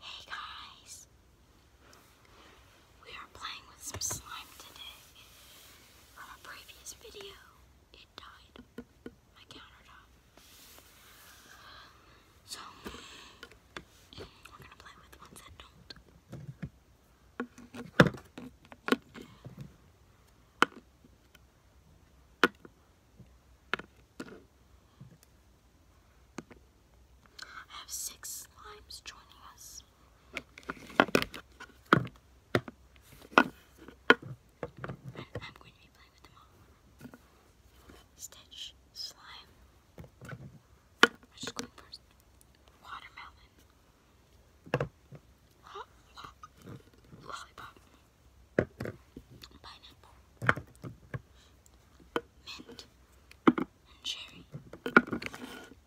Hey guys, we are playing with some slime today. From a previous video, it died. My countertop. So, we're gonna play with ones that don't. I have six slimes joining us. I'm going to be playing with them all. Stitch, slime. I'm just Lollipop pineapple, mint, and cherry.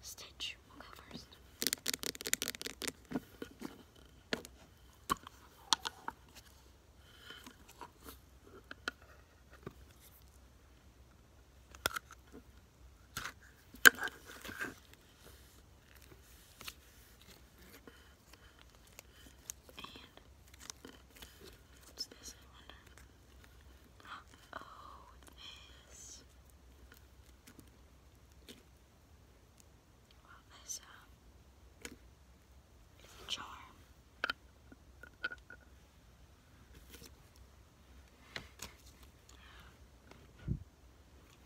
Stitch will go first. And what's this, I this. Well, this, charm.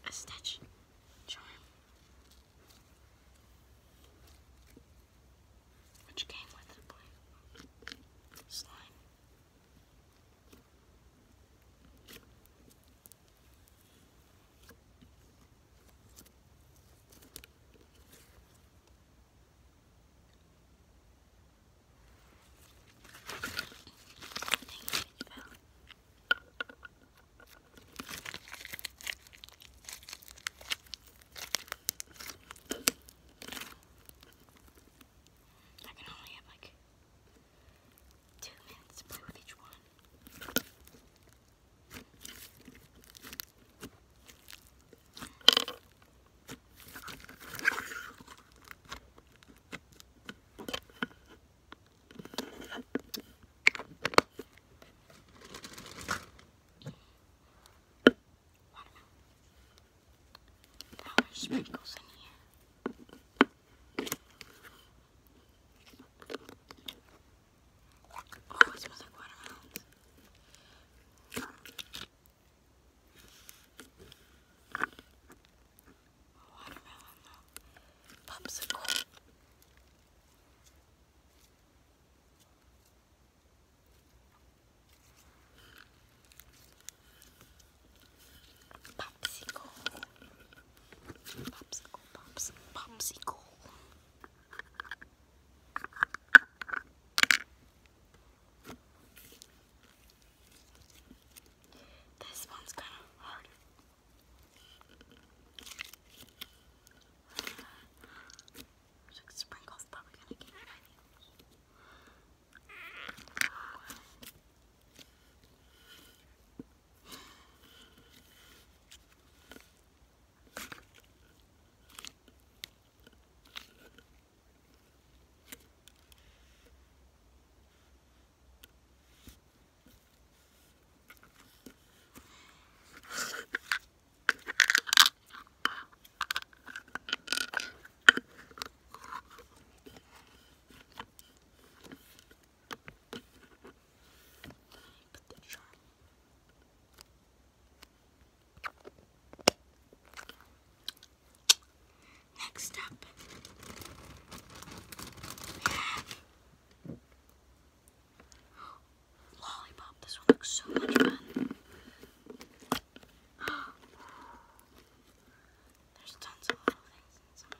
A stitch charm. Which came with a blue slime. I can only have like two minutes with each one there's sprinkles in here. Oh, it smells like watermelons. Watermelon Popsicle. Popsicle. Popsicle, pops, popsicle. This one's kind of hard like sprinkles probably gonna get my Next up, we have Lollipop, this one looks so much fun. There's tons of little things inside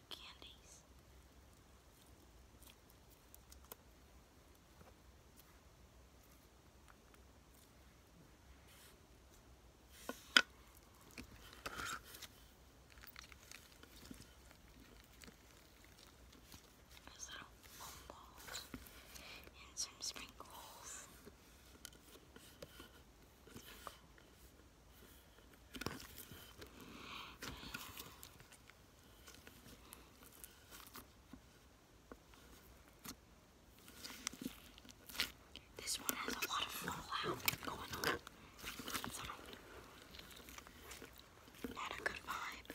like candies. There's little bonbons and some sprinkles. This one has a lot of fallout going on. Not a good vibe.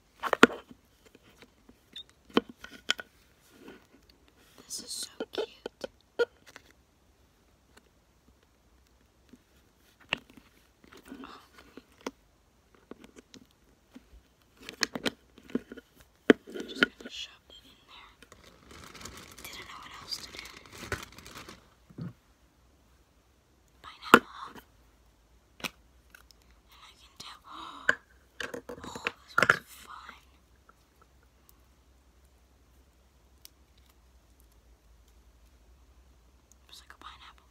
This is so cute. I'm just going to shove it in there. Didn't know what else to do. Pineapple. And I can tell. Oh, this was fun. It's like a pineapple.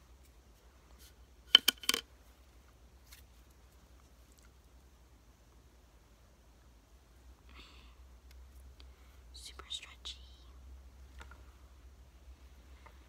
Super stretchy.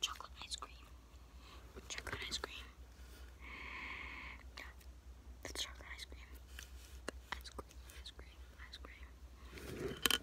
Chocolate ice cream. Chocolate ice cream. Yeah, that's chocolate ice cream. Ice cream, ice cream, ice cream.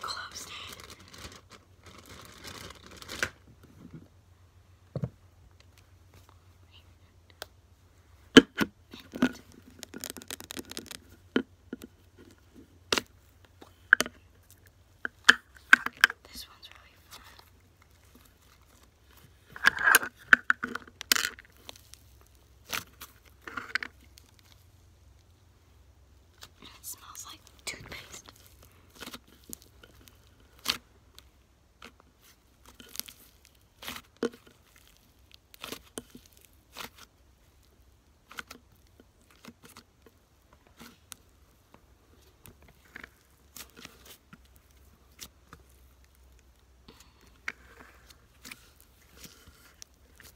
Closed it. Mint. This one's really fun it smells like toothpaste.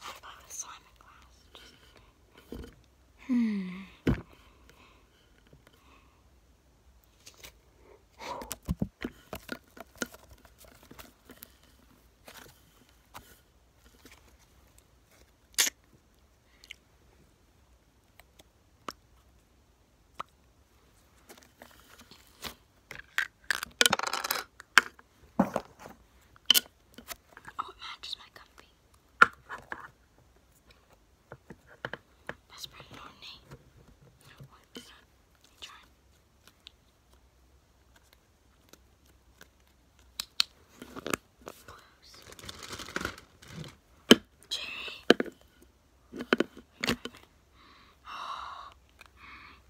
How about a Simon class? Just... Hmm. Oh, it matches my comfy. That's pretty ornate. No, it's not. Let me Close. Cherry. Oh.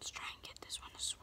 Let's try and get this one as well.